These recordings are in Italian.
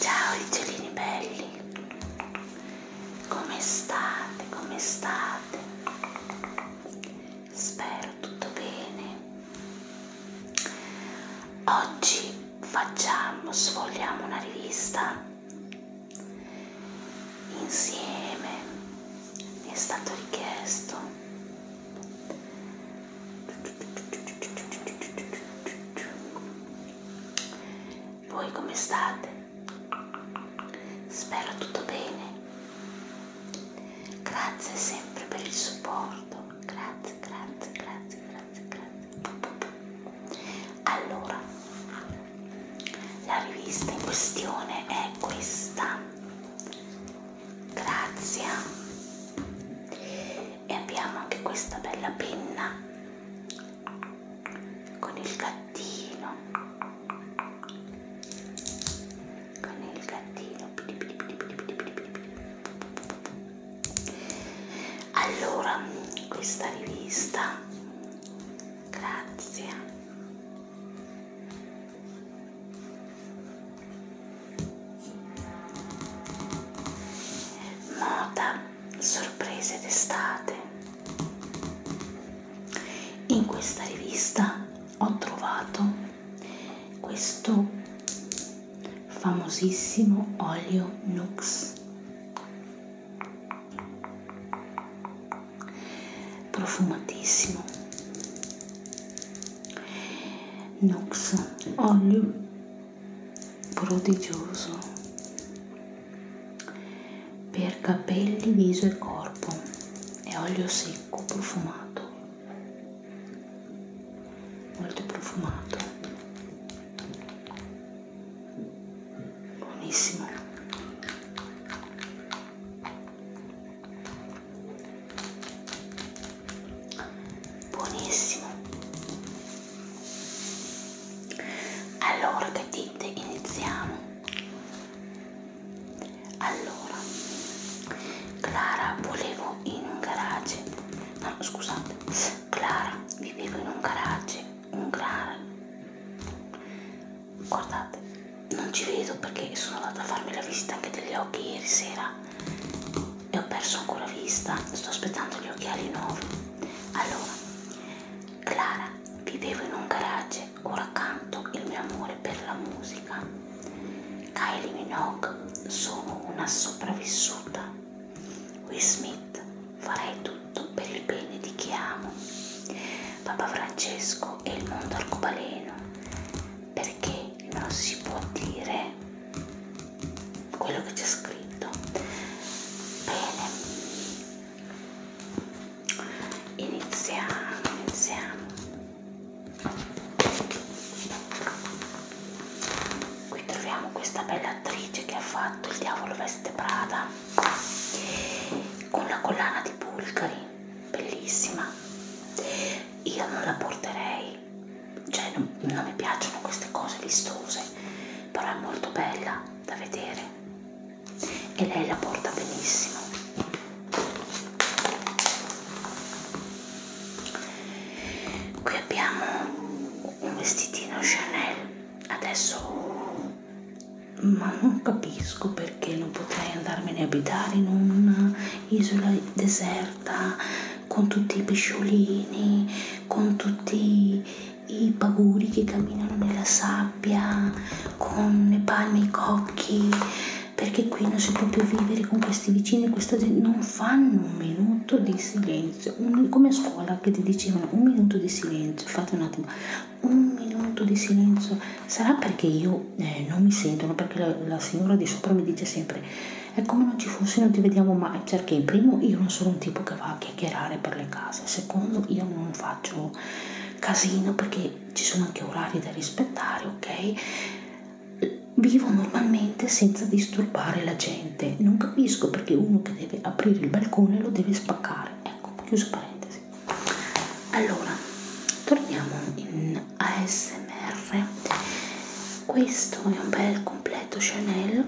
Ciao Igelini belli, come state? Come state? Spero tutto bene. Oggi facciamo, sfogliamo una rivista insieme, mi è stato richiesto voi come state? Spero tutto bene. Grazie sempre per il supporto tanto grazie grazie grazie grazie grazie allora la rivista in questione è questa grazie e abbiamo anche questa bella penna con il gattino con il gattino allora questa rivista grazie moda sorprese d'estate in questa rivista ho trovato questo famosissimo olio Nux profumatissimo Nux olio prodigioso per capelli, viso e corpo è olio secco profumato molto profumato buonissimo buonissimo allora che dite iniziamo allora Clara volevo vivevo in un garage no scusate Clara vivevo in un garage un garage guardate non ci vedo perché sono andata a farmi la visita anche degli occhi ieri sera e ho perso ancora vista sto aspettando gli occhiali nuovi allora Clara vivevo in un garage ora canto il mio amore per la musica Kylie Minogue, sono una sopravvissuta. Will Smith, farei tutto per il bene di chi amo. Papa Francesco e il mondo arcobaleno, perché non si può dire quello che c'è scritto. Bene, iniziamo, iniziamo. Qui troviamo questa bella attrice che ha fatto Il diavolo veste Prada con la collana di Bulgari, bellissima. Io non la porterei, cioè non, non mi piacciono queste cose vistose, però è molto bella da vedere e lei la porta benissimo qui abbiamo un vestitino Chanel adesso ma non capisco perché non potrei andarmene a abitare in un'isola deserta con tutti i pesciolini con tutti i paguri che camminano nella sabbia con le palme e i cocchi perché qui non si può più vivere con questi vicini, questa gente non fanno un minuto di silenzio, un, come a scuola che ti dicevano un minuto di silenzio, fate un attimo, un minuto di silenzio, sarà perché io eh, non mi sentono, perché la, la, signora di sopra mi dice sempre è come non ci fossi, non ti vediamo mai, perché cioè in primo io non sono un tipo che va a chiacchierare per le case, secondo io non faccio casino perché ci sono anche orari da rispettare, ok? vivo normalmente senza disturbare la gente. Non capisco perché uno che deve aprire il balcone lo deve spaccare. Ecco, chiuso parentesi. Allora, torniamo in ASMR. Questo è un bel completo Chanel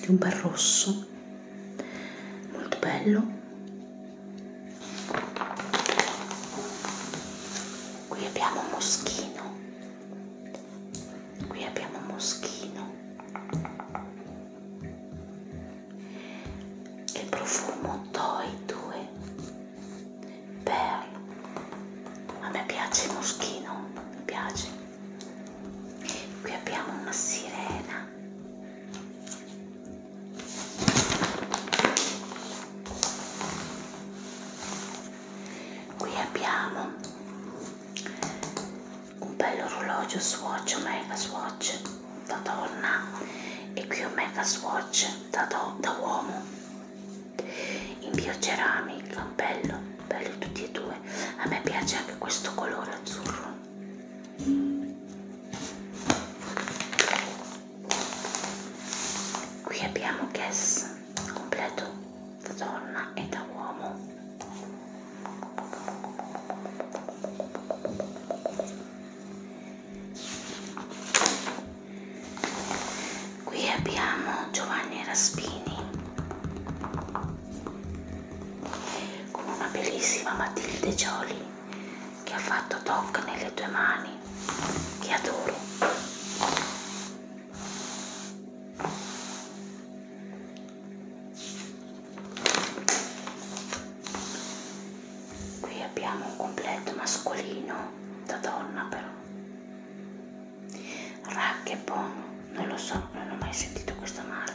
di un bel rosso molto bello qui abbiamo moschino qui abbiamo moschino il profumo Toy 2 Pearl a me piace il moschino mi piace qui abbiamo una sirena qui abbiamo un bello orologio swatch omega swatch da donna e qui omega swatch da, do, da uomo in bioceramica bello belli tutti e due a me piace anche questo colore azzurro qui abbiamo Guess completo da donna e da uomo qui abbiamo Giovanni Raspini con una bellissima Matilde Gioli che ha fatto toc nelle tue mani. Ti adoro. Qui abbiamo un completo mascolino da donna però. Rack e Bono, non lo so, non ho mai sentito questa marca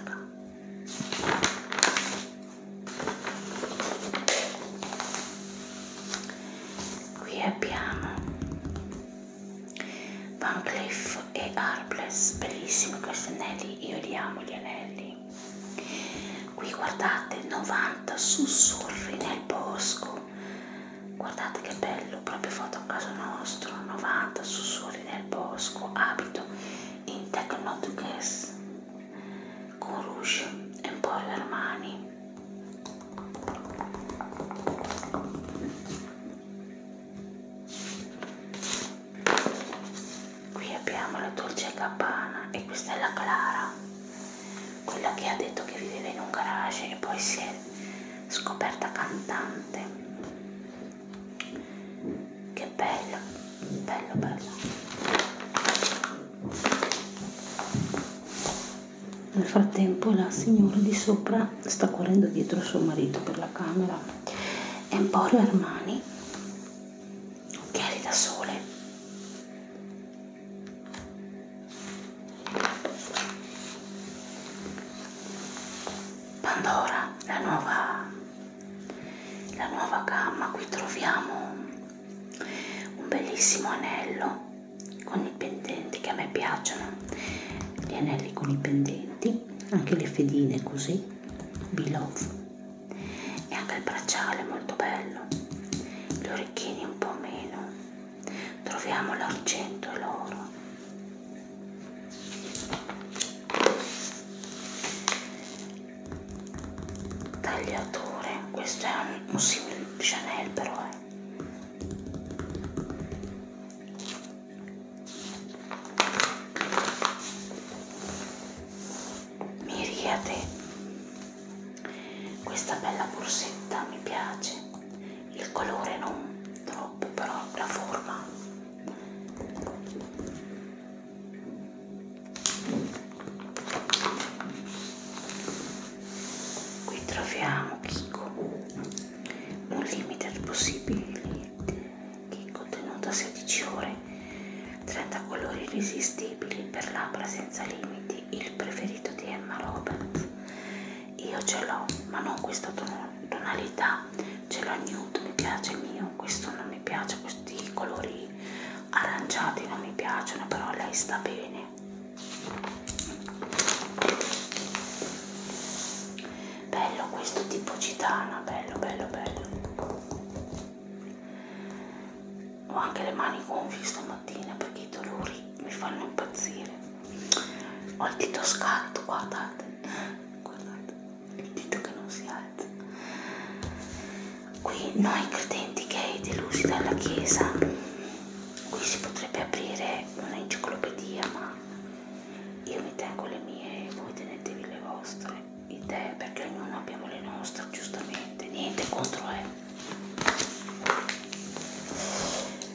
qui abbiamo Van Cleef e Arbless bellissimi questi anelli io li amo gli anelli qui guardate 90 sussurri nel bosco guardate che bello proprio fatto a caso nostro 90 sussurri nel bosco abito in techno to guess con rouge e un po' alle Armani qui abbiamo la Dolce Gabbana e questa è la Clara quella che ha detto che viveva in un garage e poi si è scoperta cantante che bello bello bello nel frattempo la signora di sopra sta correndo dietro suo marito per la camera. Emporio Armani, occhiali da sole. Pandora, la nuova, la nuova gamma, qui troviamo un bellissimo anello con i pendenti che a me piacciono gli anelli con i pendenti anche le fedine così below e anche il bracciale molto bello gli orecchini un po' meno troviamo l'argento e l'oro tagliature questo è un, un simile Chanel però eh. miriade questa bella borsetta mi piace il colore non troppo però la forma Qui troviamo Kiko, un limite possibile che contenuto a 16 ore, 30 colori irresistibili per labbra senza limiti, il preferito di Emma Roberts. Io ce l'ho, ma non questa tonalità, ce l'ho nude, mi piace il mio, questo non mi piace, questi colori aranciati non mi piacciono però lei sta bene bello questo tipo gitana bello bello bello ho anche le mani gonfie stamattina perché i dolori mi fanno impazzire ho il dito scatto guardate guardate il dito che non si ha Nazareth. Qui noi credenti gay delusi dalla Chiesa, qui si potrebbe aprire un'enciclopedia, ma io mi tengo le mie, voi tenetevi le vostre idee perché ognuno abbiamo le nostre, giustamente, niente contro lei.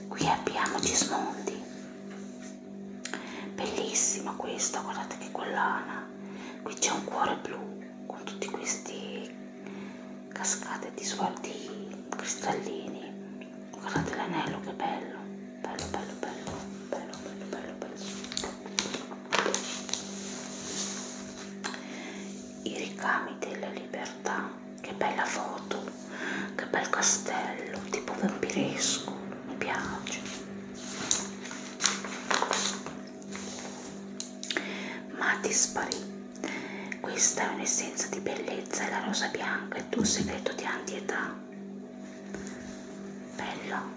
Qui abbiamo Gismondi, bellissima questa, guardate che collana, qui c'è un cuore blu con tutti questi cascate di svolti cristallini guardate l'anello che bello bello bello bello bello bello bello bello i ricami della libertà che bella foto che bel castello tipo vampiresco mi piace ma disparì. Questa è un'essenza di bellezza, è la rosa bianca, è tuo segreto di antietà. Bello.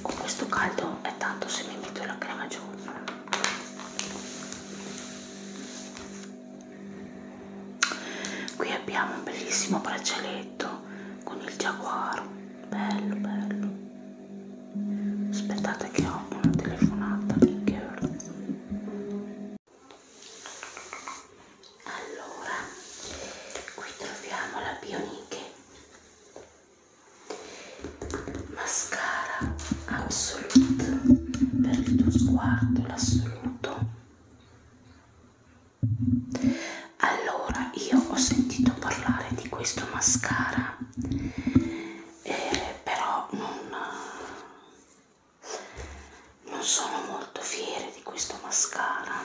Con questo caldo è tanto se mi metto la crema giù. Qui abbiamo un bellissimo braccialetto con il giaguaro bello bello aspettate che ho una telefonata che ora allora qui troviamo la Bioniche mascara absolute per il tuo sguardo l'assoluto allora io ho sentito parlare di questo mascara eh, però non, non sono molto fiera di questo mascara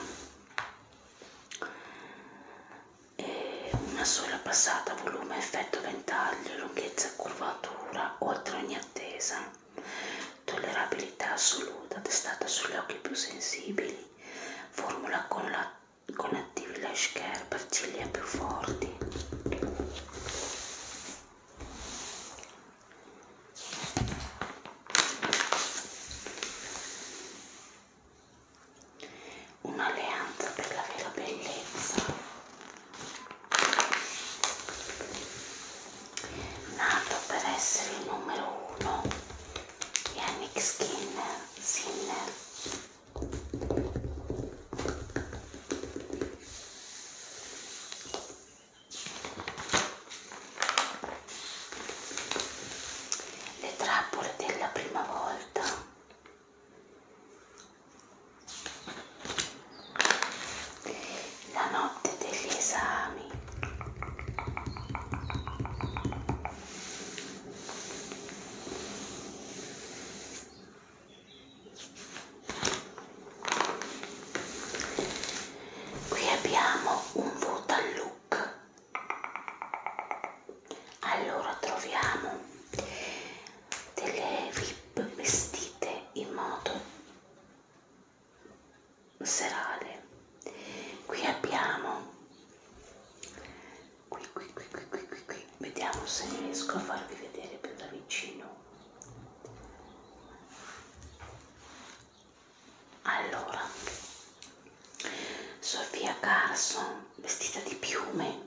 eh, una sola passata volume effetto ventaglio lunghezza curvatura oltre ogni attesa tollerabilità assoluta testata sugli occhi più sensibili formula con la con attivi lash care per ciglia più forti un'alleanza per la vera bellezza nato per essere il numero uno Yannick Skinner, Sinner. Le trappole della prima volta. La notte degli esami. Qui abbiamo un Votan Look. Allora troviamo delle vip vestite in modo serale qui abbiamo qui qui qui qui qui qui, qui. vediamo se riesco a farvi vedere più da vicino allora Sofia Carson vestita di piume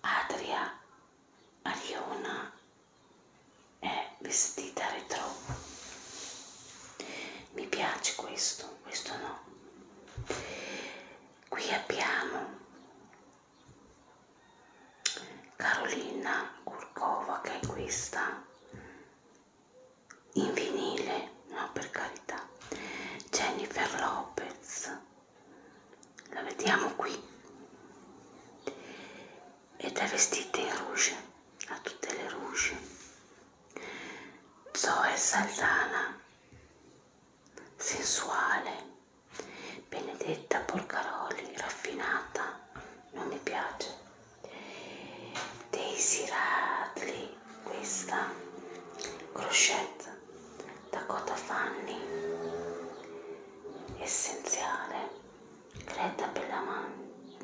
Adria Ariona è vestita retro mi piace questo questo no qui abbiamo Carolina Kurkova che è questa in vinile no per carità Jennifer Lopez la vediamo qui ed è vestita in rouge, ha tutte le rouge. Zoe Saldana, sensuale, benedetta Porcaroli, raffinata, non mi piace. Daisy Radley, questa, crochet, Dakota Fanny, essenziale retta per la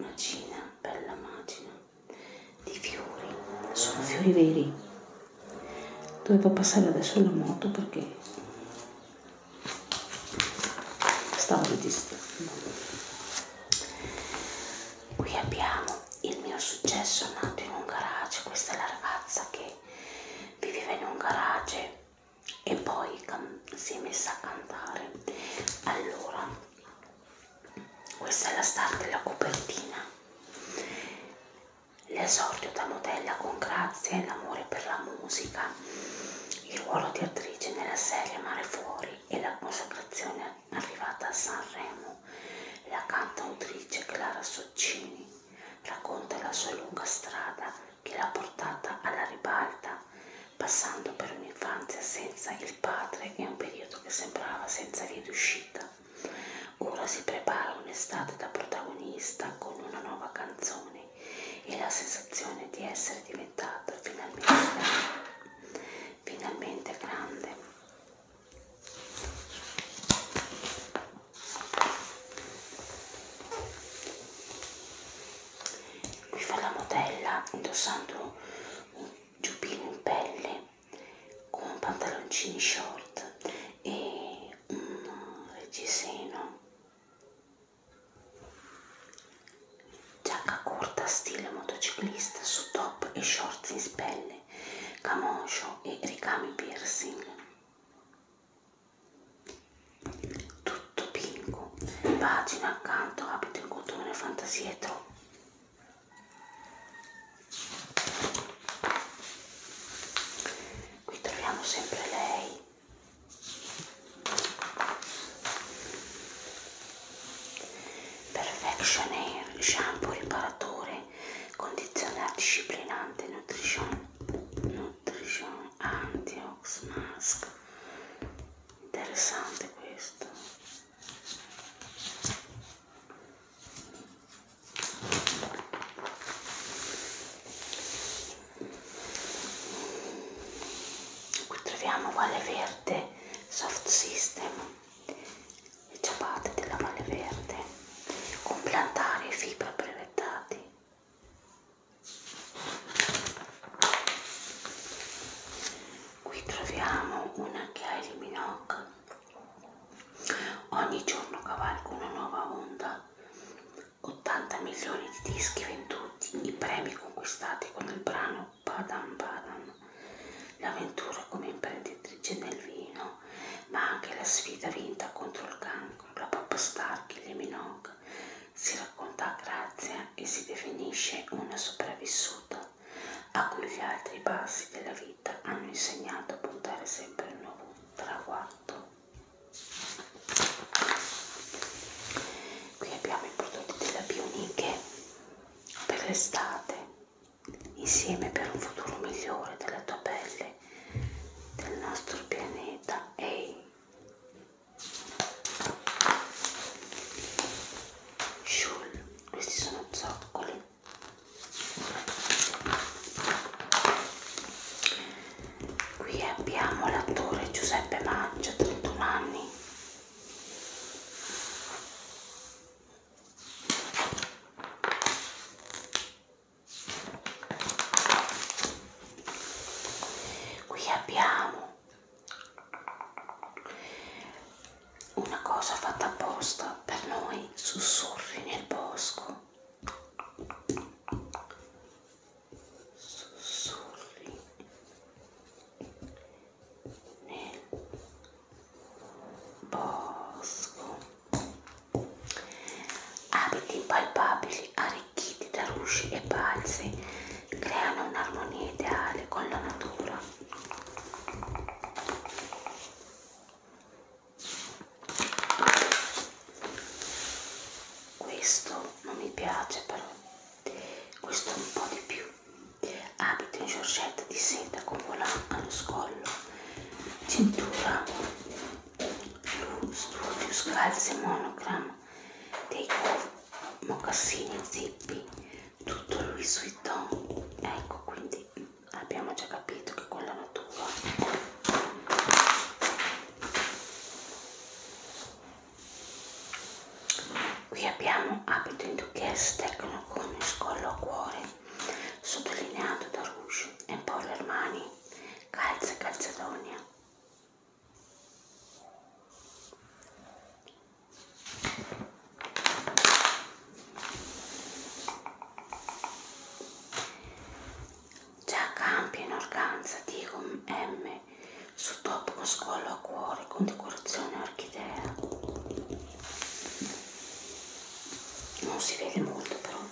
macina, per la macina di fiori, sono fiori veri. Doveva passare adesso la moto perché stavo registrando. Qui abbiamo il mio successo nato in un garage, questa è la ragazza che viveva in un garage e poi si è messa a cantare. Allora, questa è la star della copertina. L'esordio da modella con grazia e l'amore per la musica, il ruolo di attrice nella serie Mare Fuori e la consacrazione arrivata a Sanremo. La cantautrice Clara Soccini racconta la sua lunga strada che l'ha portata alla ribalta passando per un'infanzia senza il padre e un periodo che sembrava senza via d'uscita. Ora si prepara un'estate da protagonista con una nuova canzone e la sensazione di essere diventata finalmente grande. Finalmente grande qui fa la modella indossando un giubbino in pelle con pantaloncini short e un reggiseno giacca corta stile motociclista su top e shorts in spelle camoscio e ricami piercing tutto pingo pagina accanto abito il cotone fantasietro qui troviamo sempre lei Perfection Air shampoo riparatore condizioner disciplinante nutrition nutrition antiox mask interessante questo qui troviamo Valle Verde Soft System le ciabatte della Valle Verde con plantari e fibra brevettati Qui troviamo una Kylie Minogue. Ogni giorno cavalco una nuova onda. 80 milioni di dischi venduti, i premi conquistati con il brano Padam Padam, l'avventura come imprenditrice nel vino, ma anche la sfida vinta contro il cancro, la pop star Kylie Minogue si racconta a grazia e si definisce una sopravvissuta a cui gli altri passi della vita hanno insegnato a puntare sempre a un nuovo traguardo. Qui abbiamo i prodotti della Bioniche per l'estate, insieme per un futuro migliore della tua pelle, del nostro pianeta. Ehi, hey, Shul, questi sono zoccoli. Qui abbiamo l'attore Giuseppe Mancia, 31 anni. Qui abbiamo una cosa fatta apposta per noi, sussurri nel bosco. Sussurri nel bosco. Abiti impalpabili, arricchiti da rusci e balzi creano un'armonia ideale con la natura. Questo non mi piace però, questo un po' di più. Abito in giorgetta di seta con volant allo scollo, cintura blu, studio, scalze monogramma dei corpi mocassini, zippi, tutto Louis Vuitton. Ecco, quindi abbiamo già capito che quella natura. Qui abbiamo abito in duchesse tecno con il scollo a cuore, sottolineato da Rouge e Paul Armani, calze calzedonia. Già cambia in organza di M su top con scollo a cuore con decorazione orchidea. Non si vede molto però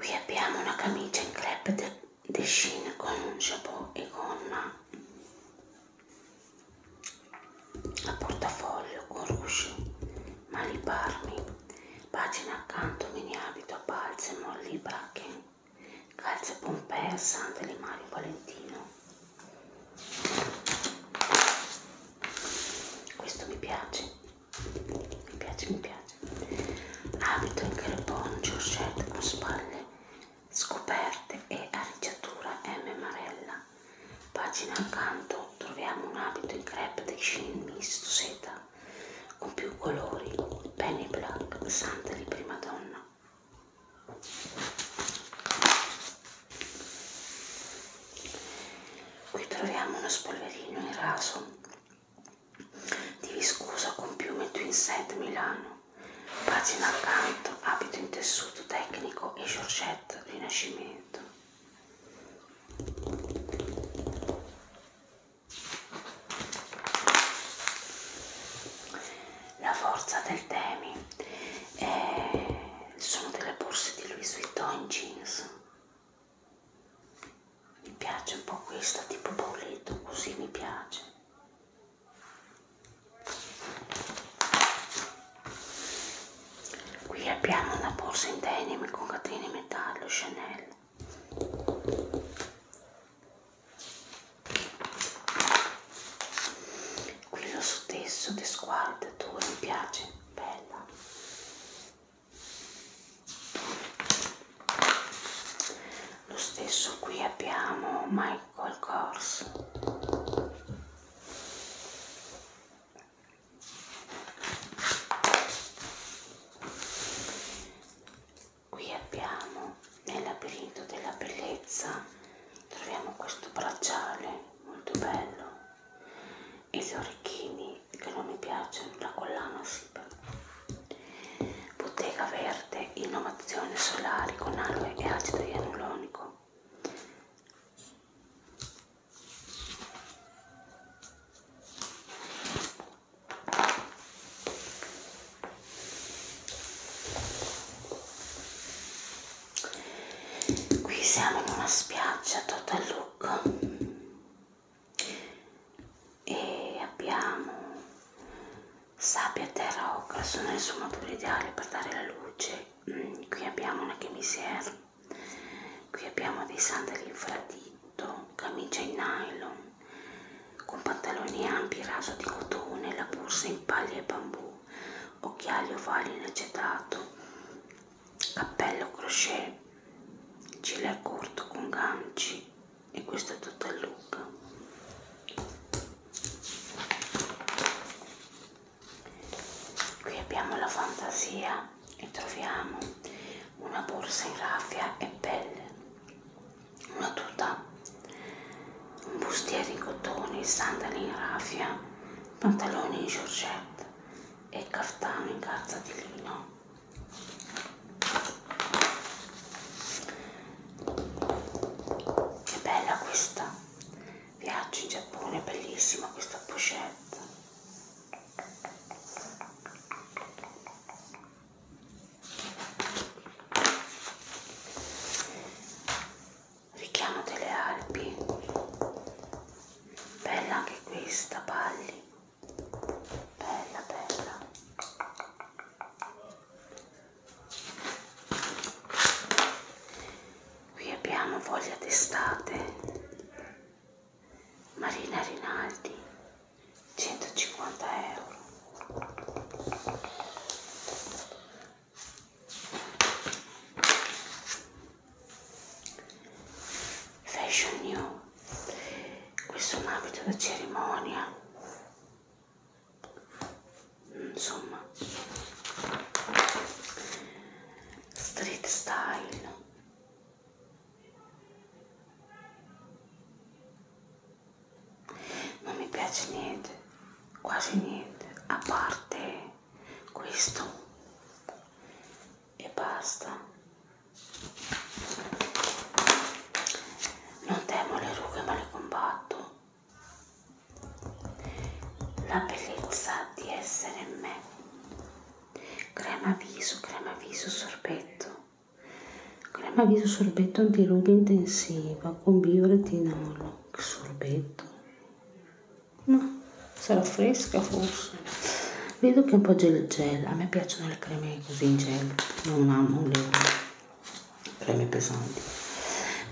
qui abbiamo una camicia in crepe de, de Shin con un chapeau e gonna a portafoglio con rusci mani parmi pagina accanto mini abito balsamo molli brache calze pompee sandali Mario Valentino questo mi piace mi piace mi piace abito in carbone giorgette con spalle scoperte e arricciatura M Marella pagina accanto troviamo un abito in crepe de Shin misto seta con più colori penny black santa di prima donna Qui troviamo uno spolverino in raso di viscosa con piume Twin Set Milano. Pagina accanto, abito in tessuto tecnico e Giorgetto Rinascimento. La forza del temi è sono delle borse di Louis Vuitton in jeans mi piace un po' questa tipo pauletto così mi piace qui abbiamo una borsa in denim con catene in metallo Chanel quello su te, su te sguarda, tu mi piace, bella. Lo stesso qui abbiamo Michael Kors. Qui abbiamo nel labirinto della bellezza troviamo questo bracciale molto bello e gli orecchini che non mi piacciono la collana sì bottega verde innovazione solari con aloe e acido ialuronico qui siamo in una spiaggia total look e abbiamo sabbia terra ocra sono il suo modo ideale per dare la luce mm, qui abbiamo una chemisière qui abbiamo dei sandali infraditto camicia in nylon con pantaloni ampi raso di cotone la borsa in paglia e bambù occhiali ovali in acetato, cappello crochet, gilet corto con ganci e questo è tutto il look. Qui abbiamo la fantasia e troviamo una borsa in raffia e pelle, una tuta, un bustiere in cotone, sandali in raffia, pantaloni in giorgette e caftano in carta di lino che bella questa viaggio in Giappone bellissima questa pochette richiamo delle Alpi bella anche questa palli bella bella qui abbiamo voglia d'estate Marina Rinaldi 150 euro Fashion New questo è un abito da cerimonia insomma street style non mi piace niente quasi niente a parte questo e basta non temo le rughe ma le combatto la bellezza di essere me crema viso crema viso sorbetto crema viso sorbetto antirughe intensiva con bioretinolo sorbetto ma sarà fresca forse vedo che è un po' gel gel a me piacciono le creme così in gel non amo le creme pesanti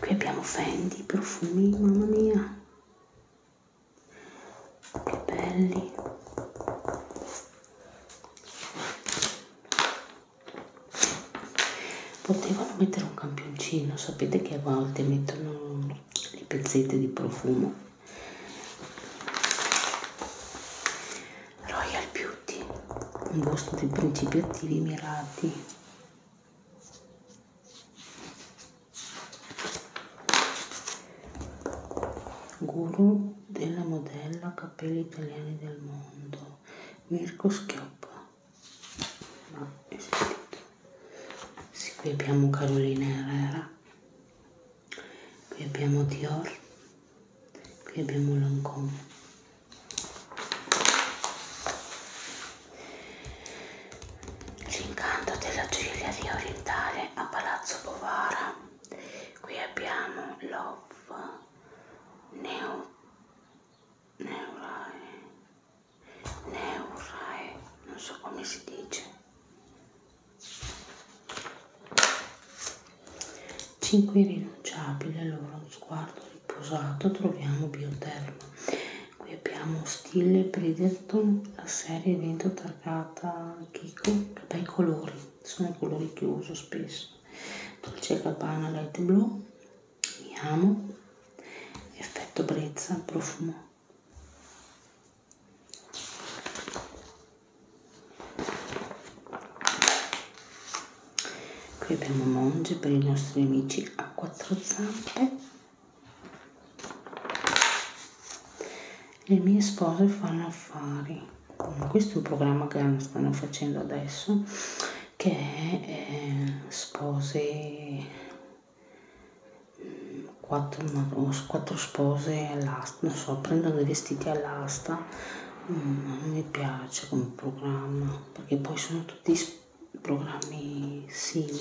qui abbiamo Fendi profumi mamma mia che belli potevano mettere un campioncino sapete che a volte mettono le pezzette di profumo Royal Beauty un gusto di principi attivi mirati guru della modella capelli italiani del mondo Mirko Schioppa no, è sentito sì, qui abbiamo Carolina Herrera qui abbiamo Dior qui abbiamo Lancome L'incanto della giriaria orientale a Palazzo Bovara. Qui abbiamo Love Neo Neurai Neurae, non so come si dice. 5 irrinunciabili al loro sguardo riposato troviamo bioterma. Qui abbiamo stile Bridgerton, la serie evento targata Kiko, che bei colori, sono colori che uso spesso. Dolce Gabbana Light Blue, mi amo, effetto brezza, profumo. Qui abbiamo Monge per i nostri amici a quattro zampe. Le mie spose fanno affari. Questo è un programma che stanno facendo adesso che eh, sposi mm, quattro, quattro spose all'asta, non so, prendono dei vestiti all'asta, mm, non mi piace come programma, perché poi sono tutti programmi simili.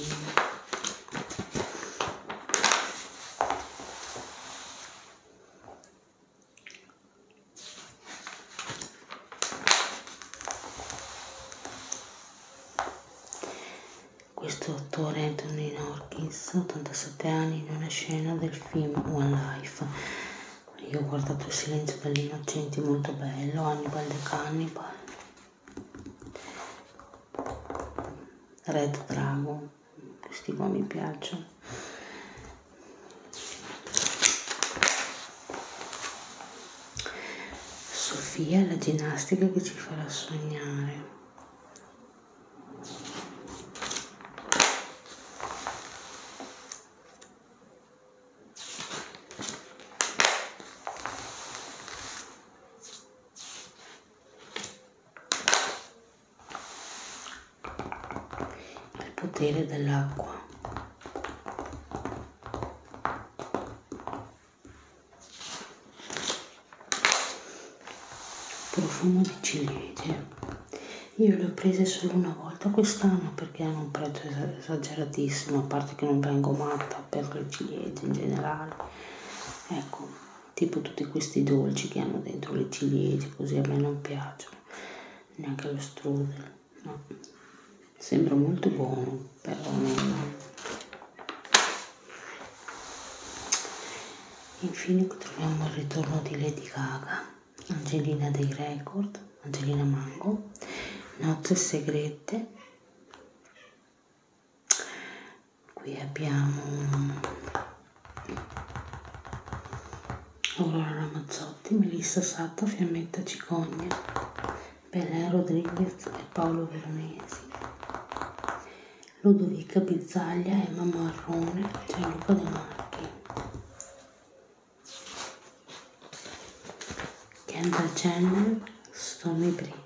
Questo attore è Anthony Norkins, 87 anni, in una scena del film One Life. Io ho guardato Il silenzio degli innocenti, molto bello, Hannibal the Cannibal, Red Dragon, questi qua mi piacciono. Sofia è la ginnastica che ci farà sognare. Il potere dell'acqua profumo di ciliegie io le ho prese solo una volta quest'anno perché hanno un prezzo esageratissimo a parte che non vengo matta per le ciliegie in generale ecco tipo tutti questi dolci che hanno dentro le ciliegie così a me non piacciono neanche lo strudel no. sembra molto buono però non infine troviamo il ritorno di Lady Gaga Angelina dei Record Angelina Mango Nozze Segrete qui abbiamo Aurora Ramazzotti Mazzotti, Melissa Satta, Fiammetta Cicogna, Belen Rodriguez e Paolo Veronesi, Ludovica Bizzaglia, Emma Marrone, Gianluca De Marchi, Kendra Jenner, Stormy Bree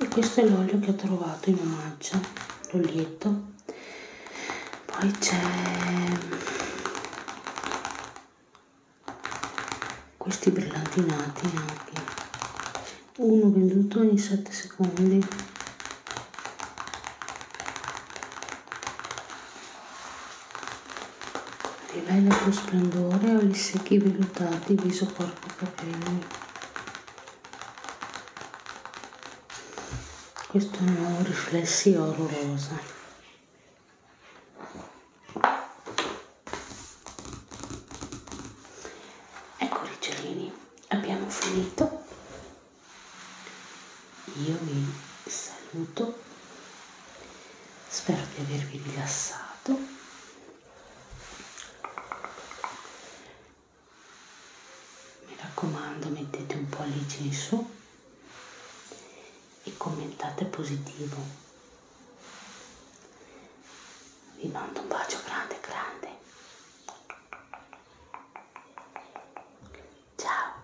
e questo è l'olio che ho trovato in omaggio l'olietto poi c'è questi brillantinati anche uno venduto ogni 7 secondi e bello tuo splendore o gli secchi vellutati viso corpo capelli questo è un nuovo riflessi oro rosa ecco ricciolini abbiamo finito io vi saluto spero di avervi rilassato mi raccomando mettete un pollice in su e commentate positivo vi mando un bacio grande grande ciao